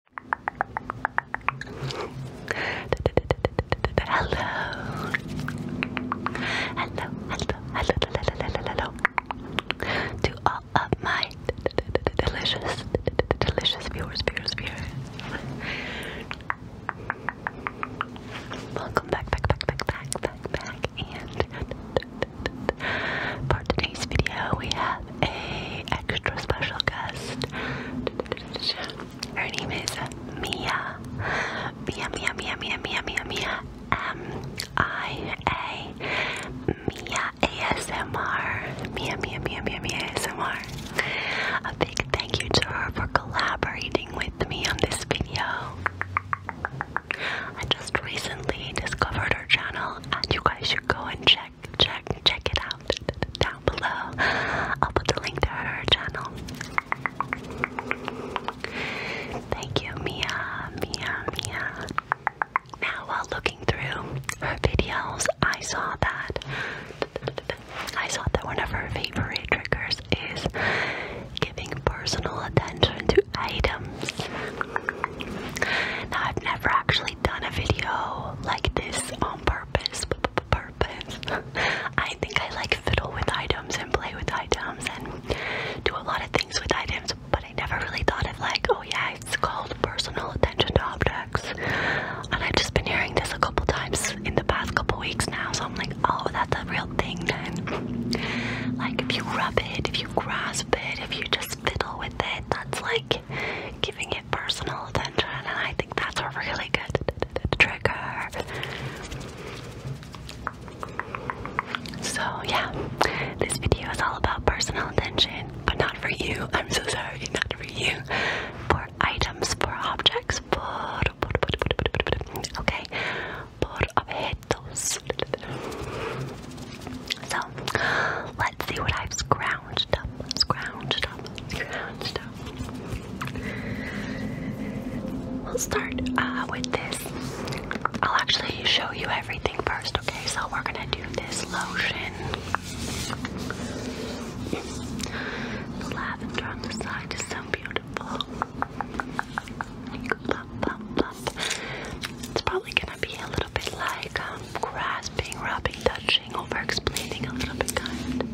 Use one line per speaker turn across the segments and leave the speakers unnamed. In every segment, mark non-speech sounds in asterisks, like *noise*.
Hello. Hello, hello, hello, hello, to all of my delicious, delicious viewers, viewers, viewers. Welcome back, back, back, back, back, back, and for today's video we have a extra special guest. Her name is Mia. Mia, Mia, Mia, Mia, Mia, Mia, Mia. M-I-A. Mia ASMR. Mia, Mia, Mia, Mia, Mia ASMR. A big thank you to her for collaborating with me on this video. I just recently discovered her channel and you guys should go and check check, check, it out down below. I'll put the link to her channel. Thank you, Mia, Mia, Mia. Now, while looking through her videos, I saw that I saw that one of her favorite triggers is giving personal attention to items. Now, I've never actually done a video like this on purpose, purpose. *laughs* I think I like fiddle with items and play with items and do a lot of things with items, but I never really thought of like, oh yeah, it's called personal attention to objects. And I've just been hearing this a couple times in the past couple weeks now, so I'm like, oh, that's a real thing then. Like if you rub it, if you grasp it, if you just fiddle with it. That's like giving it personal attention, and I think that's a really good trigger. So, yeah, this video is all about personal attention, but not for you. I'm so sorry, not for you. For items, for objects, for. Okay, por objetos. So, let's see what I've scrounged. Let's scrounged up, scrounged up. We'll start uh, with this. I'll actually show you everything first, okay? So we're gonna do this lotion. The lavender on the side is so beautiful. It's probably gonna be a little bit like um, grasping, rubbing, touching over explaining, a little bit kind.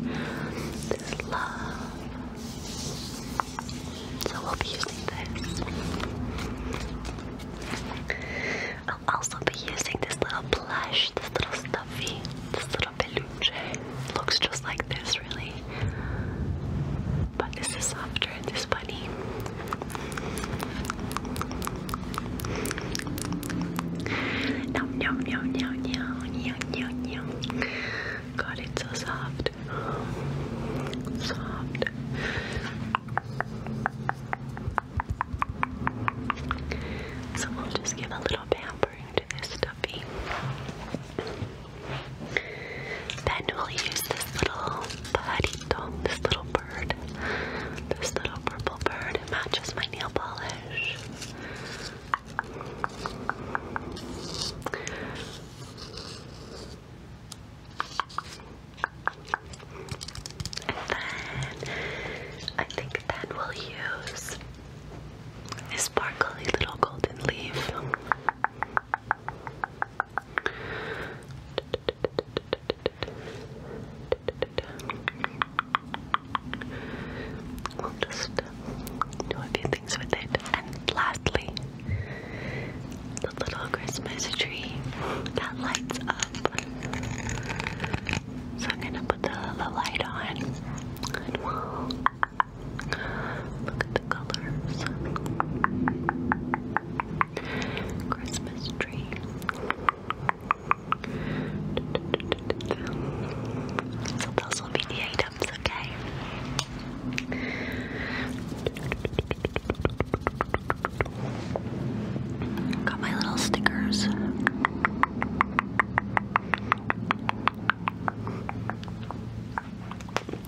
So we'll be using this. I'll also be using this little plush, this little stuffy, this little peluche. Looks just like this, really. But this is softer, this bunny. Nom nom nom nom nom nom nom. God, it's so soft. Soft. So we'll just give a little pampering to this stuffy. Then we'll use this little pajarito, this little bird, this little purple bird it matches my nail polish. And then I think then we'll use a sparkly little golden leaf. We'll just uh, do a few things with it. And lastly, the little Christmas tree that lights up. So I'm gonna put the, light on look at the colors. Christmas tree. So those will be the items, okay? Got my little
stickers.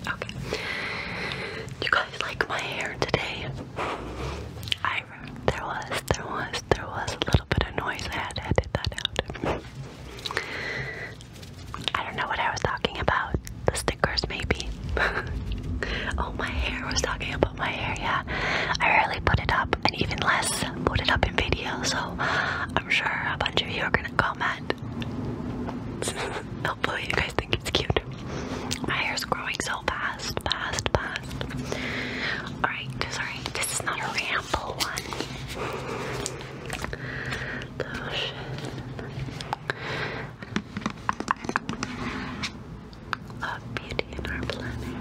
Okay. you guys like my hair today? I there was, there was, there was
a little bit of noise. I had to edit that out. I don't know what I was talking about. The stickers, maybe. *laughs* oh, my hair. I was talking about my hair, yeah. I rarely put it up, and even less put it up in video, so I'm sure a bunch of you are gonna comment. *laughs* Hopefully, you guys think it's cute. My hair's growing so fast. Alright, sorry, this is not a ramble one. Oh beauty in our planet.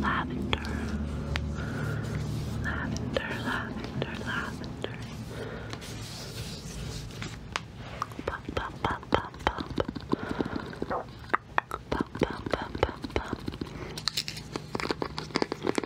Lavender, lavender, lavender, lavender. Pop, pop, pop, pop, pop. Pop, pop, pop, pop, pop.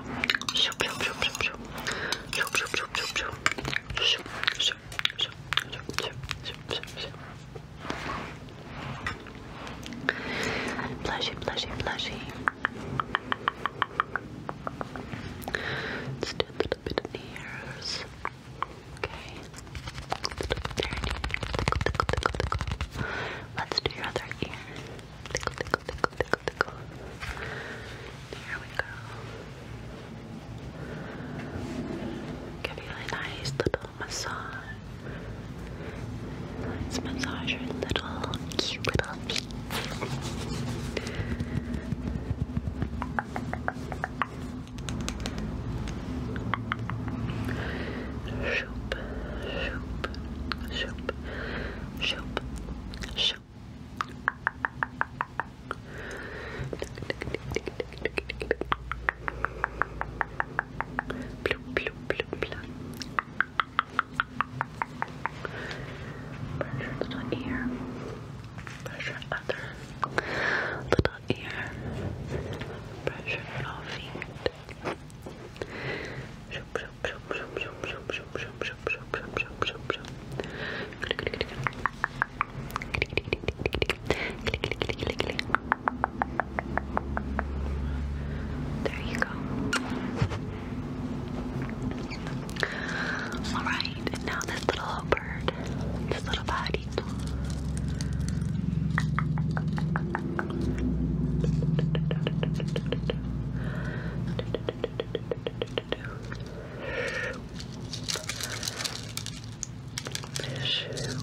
Blushy, blushy, blushy. Let's do a little bit of the ears. Okay. Let's do your other ear. Tickle, tickle, tickle, tickle tickle, tickle. we go. Give you a nice little massage. Let's massage your little cute little feet. Shoop, shoop, shoop shoop, shoop, shoop. Bloop, bloop, bloop, Pressure little ear. Pressure other little ear. Pressure little feet. shoop, there you go. All right, and now this little bird, this little body. Fish soup.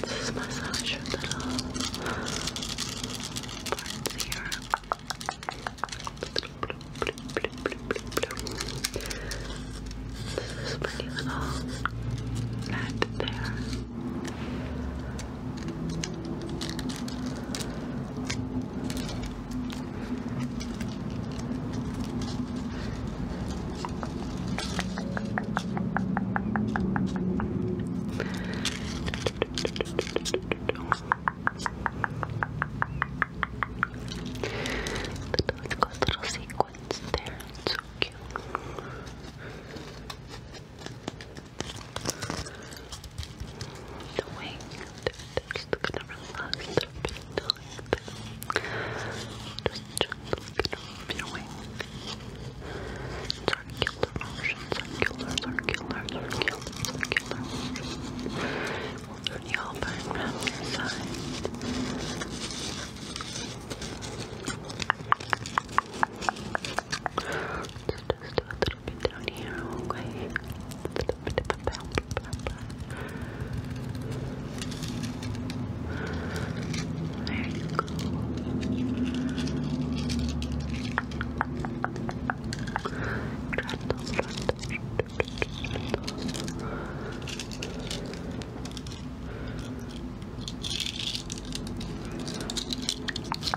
This is massage of the parts here. This is pretty little net there. Little, it's got little sequins there, it's so cute doing. Just gonna relax a bit like this. Just gently reviewing circular motion, circular, circular, circular, circular motion. We'll turn you over and round your side. Just, just a little bit down here, okay? A little bit of a bounce, There you go. Trundle, trundle, trundle,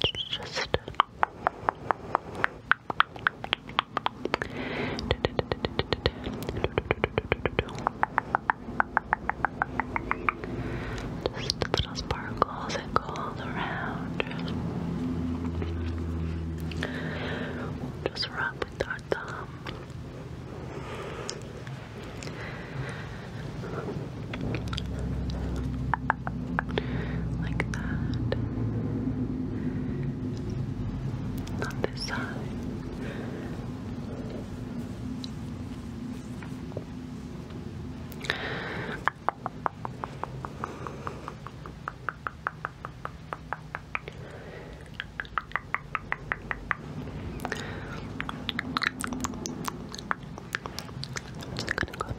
just just little sparkles that go all around. just rub with our thumb. Like that. On this side. I'm just gonna go up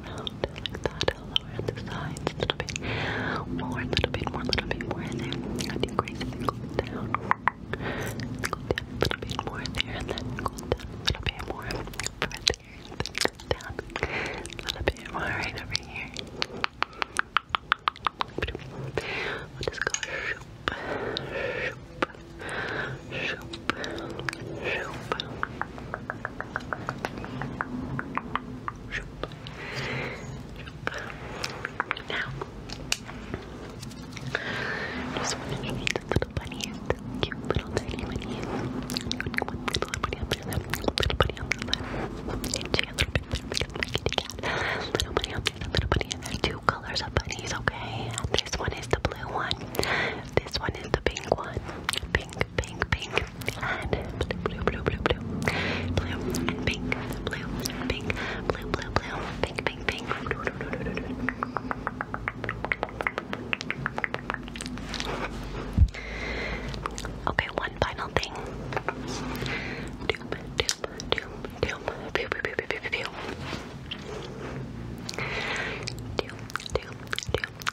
around like that, lower at the sides a little bit, more a little bit, more a little bit, more there. then go down, go down a little bit more there, and then go down a little bit more over there, and then go down a little bit more right over here. We'll just go shoop, shoop, Shoop. Shoop. Now, just want to eat little bunnies, cute little tiny bunnies. little bunny up there, little bunny on the left. And little bit Little bunny little bunny, two colors of bunnies, okay? This one is the blue one, this one is the pink one. Pink, pink, pink, and blue, blue, blue, blue, blue, blue and pink, blue, and pink, blue, blue, blue, pink, pink, pink. Okay, one final thing. Doom, doom, doom, doom, pew, pew, pew, pew, pew, pew. Doom, doom, doom,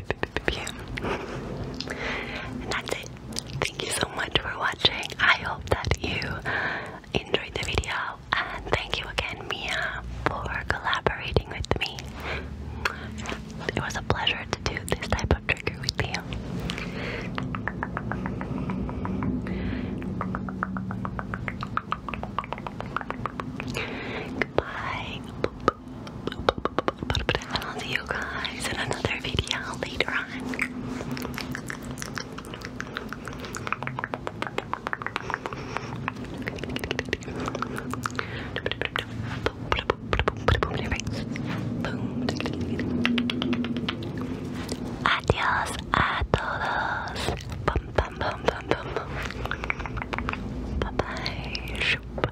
*laughs* that's it. Thank you so much for watching. I hope that you enjoyed the video. And thank you again, Mia, for collaborating with me. It was a pleasure to do this type of trigger with you. Goodbye. I'll see you guys in another video later on. Adios a todos. bye.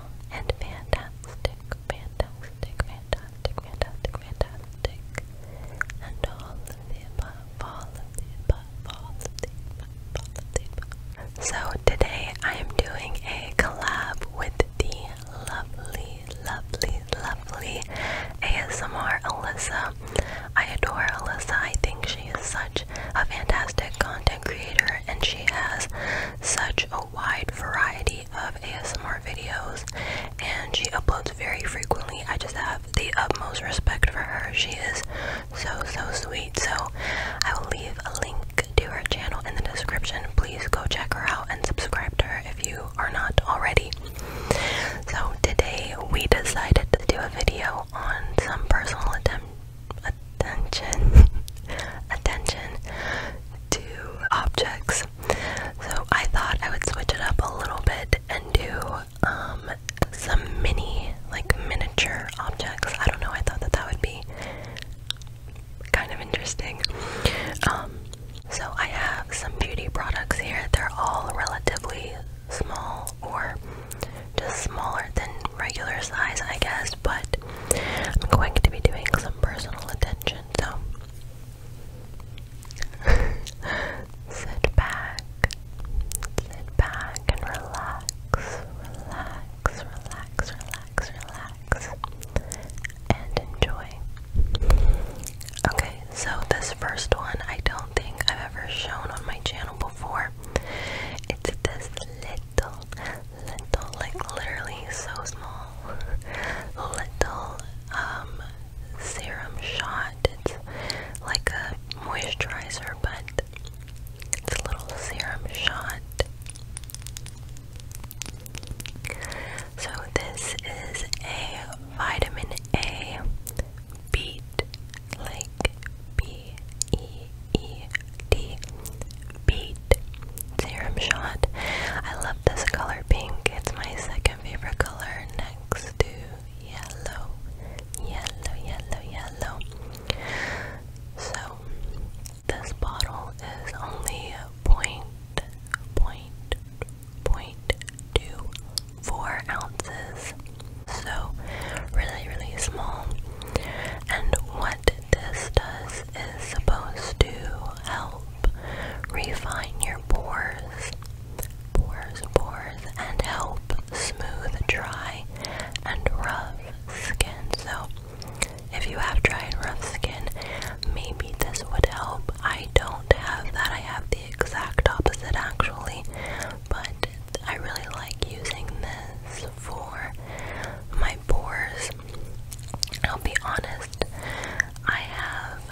and fantastic, fantastic, fantastic, fantastic, fantastic, and all the above, all the above, all the above, all the above. So today I am doing a collab with the lovely, lovely, lovely ASMR Alyssa. I adore Alyssa. I think she is such a fantastic content creator and she has such a wide variety of ASMR videos and she uploads very frequently. I just have the utmost respect for her. She is so, so sweet. So I will leave a link to her channel in the description. Please go check her out and subscribe to her if you are not already. So today we decided to do a video on some personal attempt attention *laughs* attention to objects. So I thought I would switch it up a little bit and do um, some mini like miniature objects. I don't know, I thought that that would be kind of interesting. Um, so I have some beauty products here. They're all relatively small or just smaller than regular size, I guess, but I'm going to be doing some personal attention, so *laughs* sit back, sit back and relax, relax, relax, relax, relax, and enjoy. Okay, so this first one I don't think I've ever shown on my channel before. It's this little, little, like literally so small, *laughs* little um, serum shot. It's like a moisturizer, but it's a little serum shot. So this is a vitamin A beet, like B E E D Beat Serum Shot. I love this color pink. It's my second favorite color next to yellow. Yellow, yellow, yellow. So this bottle is only point point point two four ounces. So really really small. And what? this does is supposed to help refine your pores, pores, pores, and help smooth, dry, and rough skin. So, if you have dry and rough skin, maybe this would help. I don't have that, I have the exact opposite actually, but I really like using this for my pores I'll be honest, I have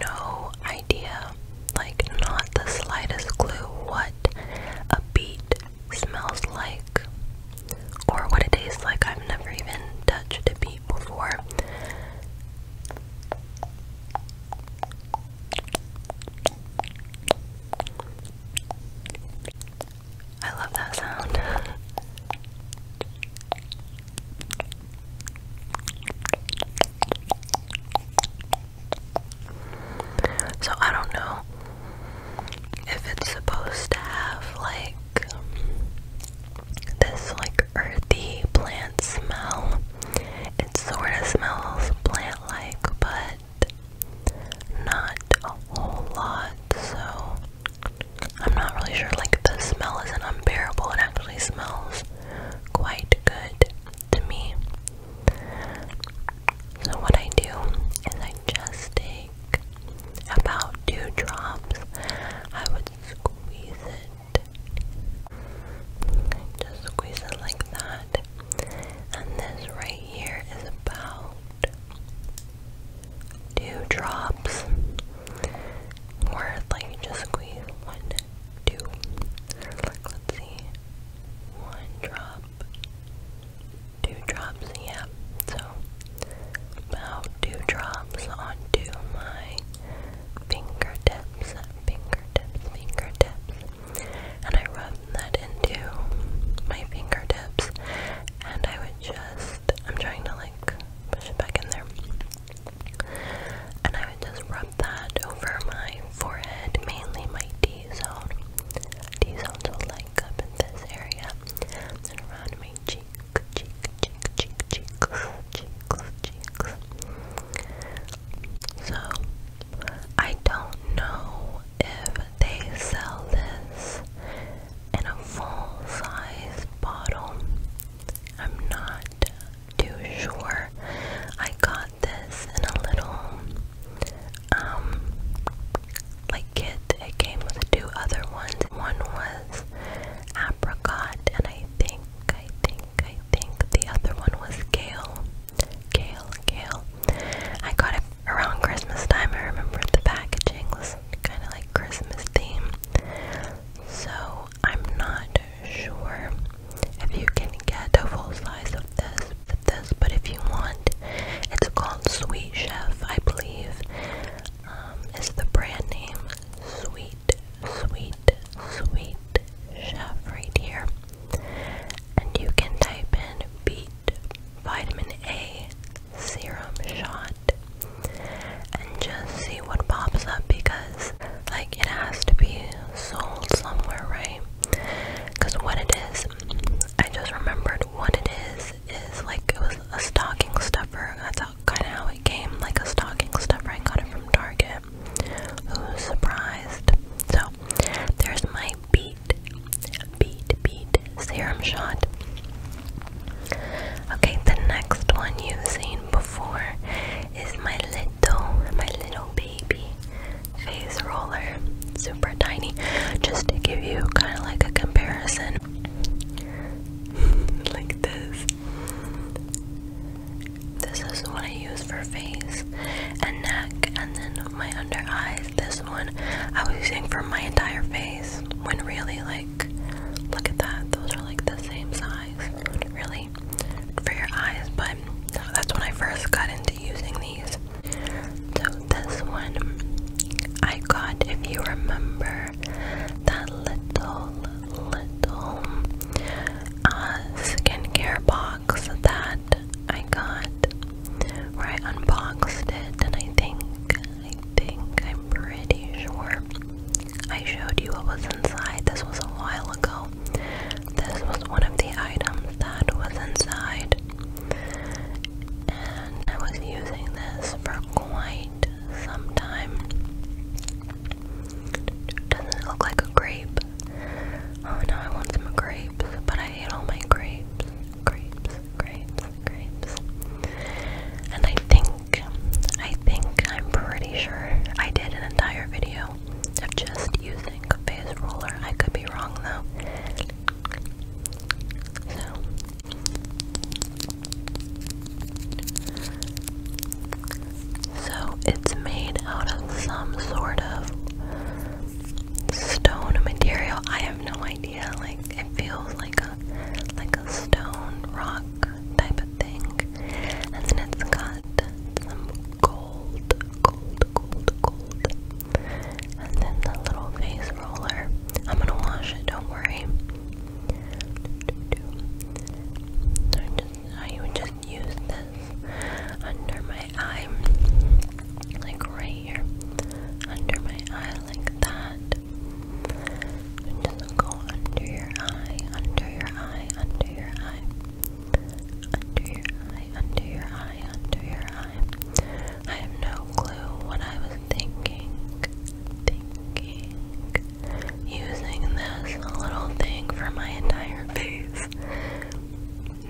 no idea, like, not the slightest clue what a beet smells like or what it tastes like. I've never even touched a beet before. I love that sound. So I don't know if it's supposed to have like this like earthy plant smell. It sort of smells plant like, but not a whole lot, so I'm not really sure. Like, the smell isn't unbearable, it actually smells quite good to me. So, what I do is I just take about two drops, I would squeeze it. just squeeze it like that. And this right here is about two drops worth, like just squeeze one, two, like let's see, one drop, two drops, yeah, so about two drops onto my fingertips, fingertips, fingertips, and I rub that into my fingertips and I would just, I'm trying to like push it back in there, and I would just rub that over my forehead, mainly my D-zone, D-zone, so like up in this area, and around my cheek, cheek, cheek, cheek, cheeks, cheeks, cheeks. So, I don't know if they sell this in a full-size bottle. I'm not too sure. I got this in a little um like kit. It came with two other ones. One was apricot and I think I think I think the other one was gale, gale, gale. I got it around Christmas time, I remember the packaging was kind of like Christmas theme. So I'm not sure if you can get a full size of this, of this, but if you want, it's called Sweet Chef, I believe. Um, is the brand name Sweet, Sweet, Sweet Chef right here, and you can type in B vitamin A serum shot and just see what pops up because, like, it has to be sold somewhere, right? Because what it is, I just remembered what it is, is like it was a stocking stuffer. That's kind of how it came, like a stocking stuffer. I got it from Target. Who's surprised? So, there's my B beat, beat, serum shot. Okay, the next one you've seen before is my little, my little baby face roller. Super tiny, just to give you kind of like a comparison. *laughs* like this. This is what I use for face and neck, and then my under eyes. This one I was using for my entire face when really like look at that those are like the same size really for your eyes but that's when I first got into using these so this one I got if you remember that little little uh, skincare box that I got where I unboxed it and I think I think I'm pretty sure I showed you what was inside. This was a while ago. This was one of the items that was inside. And I was using this for quite some time. Doesn't it look like a grape? Oh no, I want some grapes, but I ate all my grapes grapes, grapes, grapes. And I think, I think, I'm pretty sure I did an entire video of just using a base roller. I could be wrong though. So. So it's made out of some sort of stone material. I have no idea idea. Like it feels like a like a stone rock type of thing, and then it's got some gold, gold, gold, gold, and then the little face roller. I'm gonna wash it. Don't worry. I just I would just use this under my eye, like right under my eye like that. just go under your eye, under your eye, under your eye, under your eye, under your eye, under your eye. I have no clue what I was thinking, thinking, using this little thing for my entire face.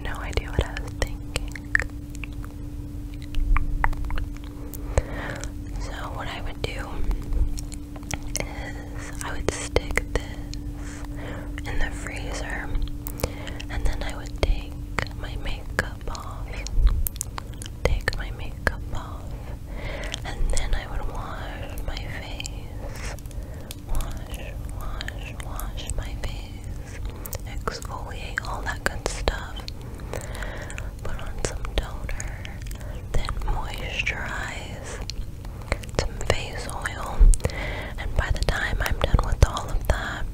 No idea what I was thinking. So what I would do is I would stick this in the freezer and then I would take my makeup off. Take my makeup off. And then I would wash my face. Wash, wash, wash my face exfoliate, all that good stuff. Put on some toner, then moisturize, some face oil, and by the time I'm done with all of that,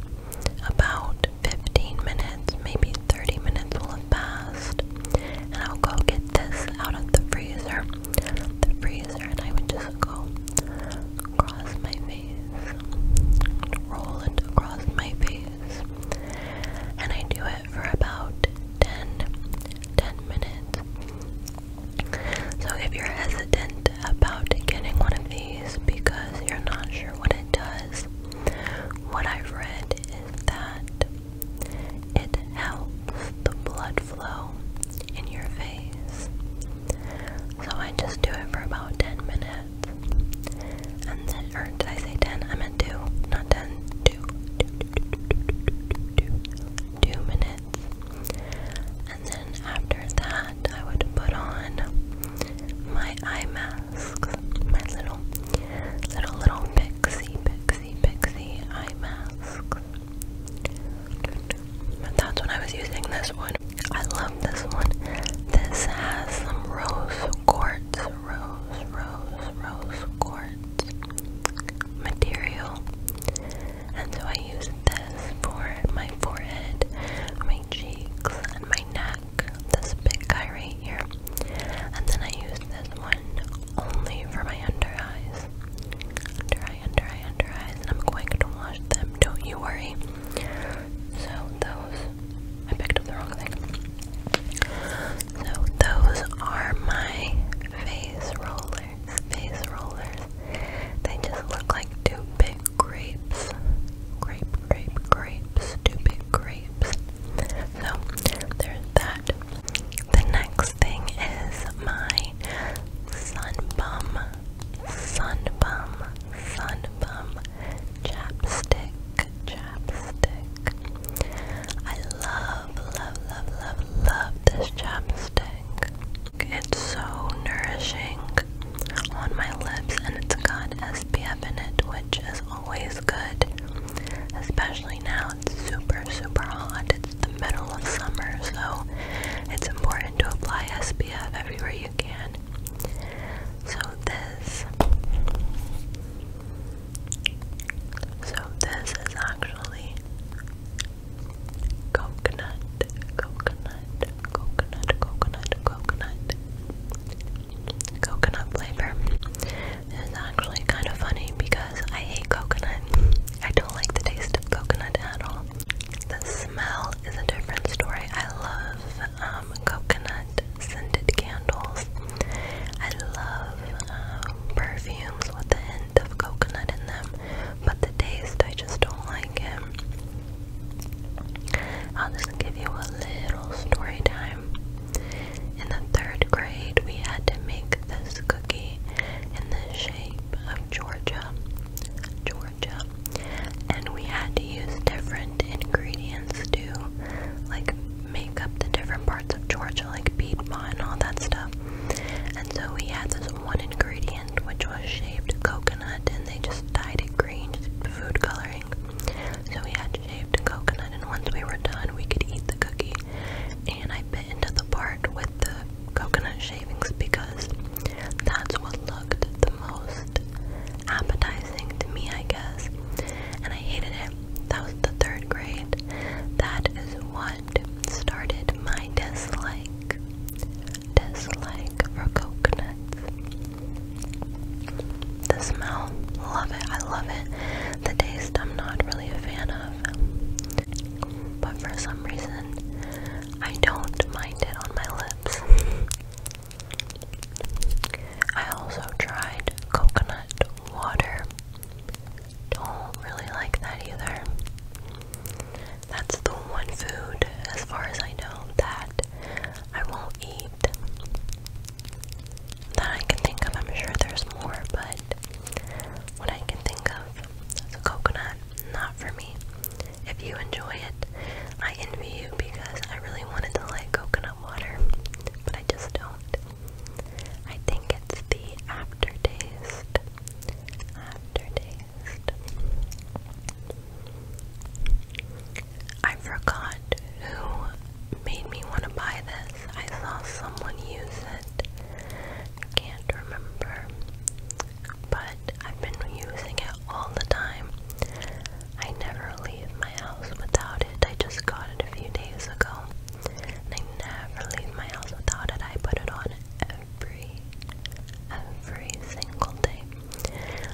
about 15 minutes, maybe 30 minutes will have passed, and I'll go get this out of the freezer, the freezer, and I would just go across my face, roll it across my face, and I do it for about 10, minutes. So if you're hesitant about getting one of these because you're not sure what it does, what I've read is that it helps the blood flow in your face. So I just do it for about 10 minutes. And then, or did I say 10? I meant 2, not 10, 2, minutes. And then after that, I would put on my eye masks, my little, little, little pixie, pixie, pixie eye masks. But that's when I was using this one. I love this one. This has some rose quartz quartz, rose, rose, rose quartz material. And so I use this for my forehead, my cheeks, and my neck. This big guy right here. And then I use this one only for my under eyes. Under eye, under eye, under eyes. And I'm going to wash them, don't you worry. So those I picked up the wrong thing. So those are my face rollers. Face rollers. They just look like two big grapes. Grape, grape, grapes. Two grapes. So there's that. The next thing is my sun bum. Sun Chapstick chapstick. I love, love, love, love, love this chapstick. It's so nourishing on my lips and it's got SPF in it, which is always good. Especially now, it's super, super hot. It's the middle of summer, so it's important to apply SPF everywhere you can. So this So this is actually coconut, coconut, coconut, coconut, coconut. Coconut flavor. It's actually kind of funny because I hate coconut. I don't like the taste of coconut at all. The smell is a different story. I love um, coconut scented candles. I love um, perfumes with a hint of coconut in them, but the taste, I just don't like it. I'll just give you a little story time. In the third grade, we had to make this cookie in the shape of Georgia. Georgia and we had to use different ingredients to like make up the different parts of Georgia, like Piedmont and all that stuff. And so we had this one ingredient which was shaved coconut, and they just dyed it green, food coloring. So we had shaved coconut, and once we were done, we could eat the cookie. And I bit into the part with the coconut shavings because that's what looked most appetizing to me, I guess. And I hated it. That was the third grade. That is what started my dislike. Dislike for coconut. The smell, love it, I love it. The taste, I'm not really a fan of. But for some reason, I don't mind it on my lips. *laughs* I also tried coconut water. Don't really like that either. That's the one food, as far as I know, that I won't eat. That I can think of. I'm sure there's more, but what I can think of is a coconut. Not for me. If you enjoy it, I envy you because I really wanted to like coconut water, but I just don't. I think it's the aftertaste. Aftertaste. I forgot who made me want to buy this. I saw someone use it. Can't remember. But I've been using it all the time. I never leave my house without it. I just got it a few days ago. I never leave my house without it. I put it on every, every single day.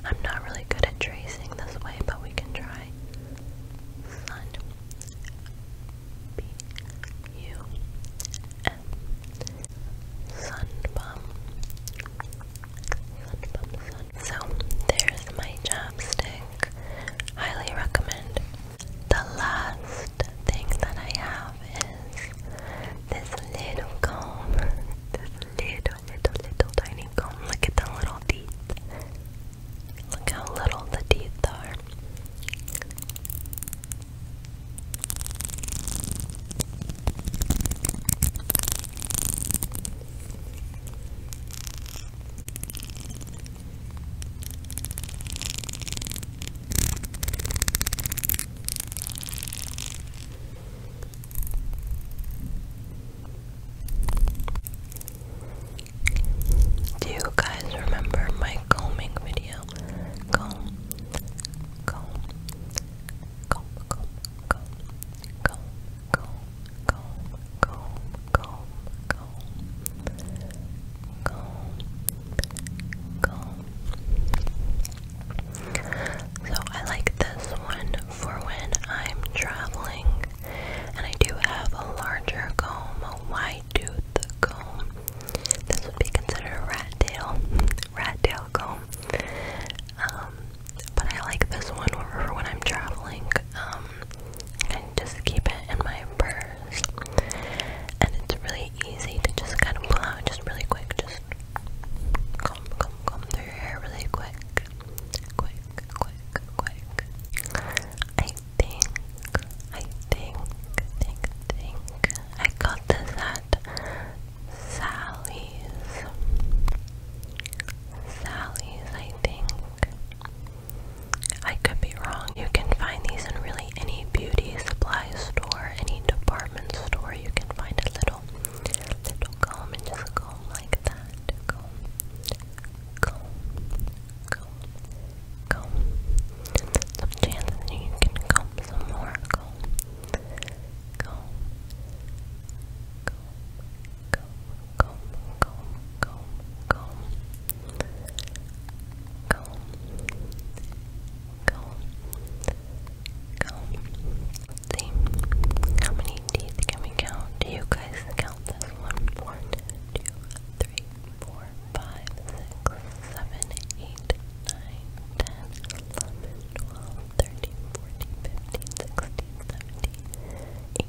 I'm not really good at tracing this way, but we can try. Sun. B. U. M. Sun bum. So there's my chapstick. Highly recommend. The last thing that I have is this little comb. This little, little, little tiny comb. Look at the little teeth. Look how little the teeth are. Do you guys remember my combing video? Comb, comb, comb, comb, comb, comb, comb, comb, comb, comb, comb, comb, comb. So I like this one for when I'm traveling and I do have a larger comb, a wide tooth comb. This would be considered a rat tail, *laughs* rat tail comb. Um, but I like this one for when I'm traveling. Um, I just keep it in my purse, and it's really easy to just kind of pull out just really quick. Just comb, comb, comb through your hair really quick, quick, quick, quick. I think, I think, think, think. I got this at Sally's. Sally's, I think. I could be wrong. You can find these in really any beauty supply store, any department store. You can find a little, little comb and just comb like that. Comb, comb, comb, comb. Some chances you can comb some more. Comb, comb, comb, comb, comb, comb, comb, comb, comb, comb, comb. See how many teeth can we count? Do you guys count this one? One, two, three, four, five, six, seven, eight, nine, ten, eleven, twelve, thirteen, fourteen, fifteen, sixteen, seventeen.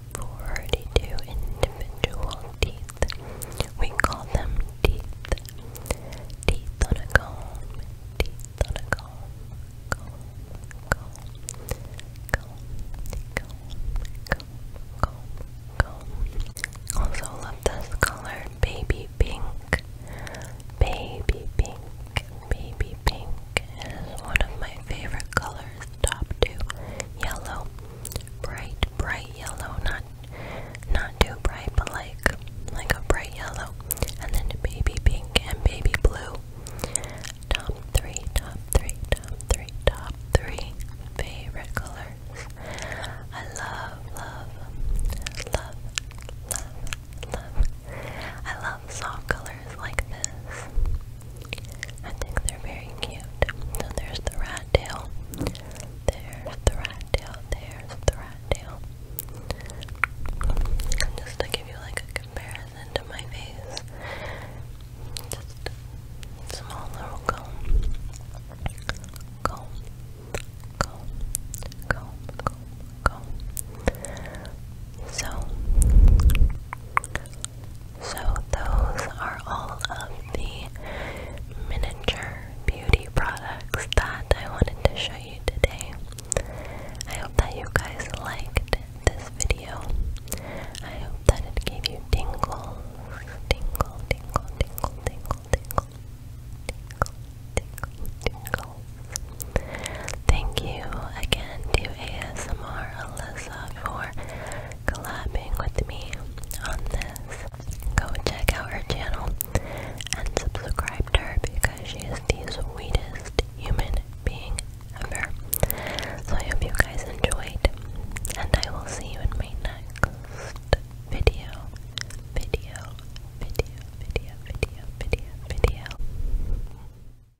42 individual teeth. We call them teeth. Teeth on a comb, teeth on a comb, comb, comb, comb, comb, comb, comb, comb. Also love this color, baby pink, baby pink. Baby pink is one of my favorite colors. Top two, yellow, bright, bright yellow. Not, not too bright, but like, like a bright yellow. And then baby pink and baby blue. Top three, top three, top three, top three favorite colors. I love, love, love, love, love. I love soft colors like this. I think they're very cute. So there's the rat tail. There's the rat tail. There's the rat tail. Just to give you like a comparison to my face. Just small little comb. Comb. Comb. Comb. Comb. So so those are all of the miniature beauty products that I wanted to show you today. I hope that you guys liked this video. I hope that it gave you tingles. Tingle, tingle, tingle, tingle, tingle. Tingle, tingle, tingle. Thank you again to ASMR Alyssa Alyssa for collabing with me on this. Go check out her channel and subscribe to her because she is the sweetest human being ever. So I hope you guys enjoyed and I will see you in my next video. Video, video, video, video, video, video.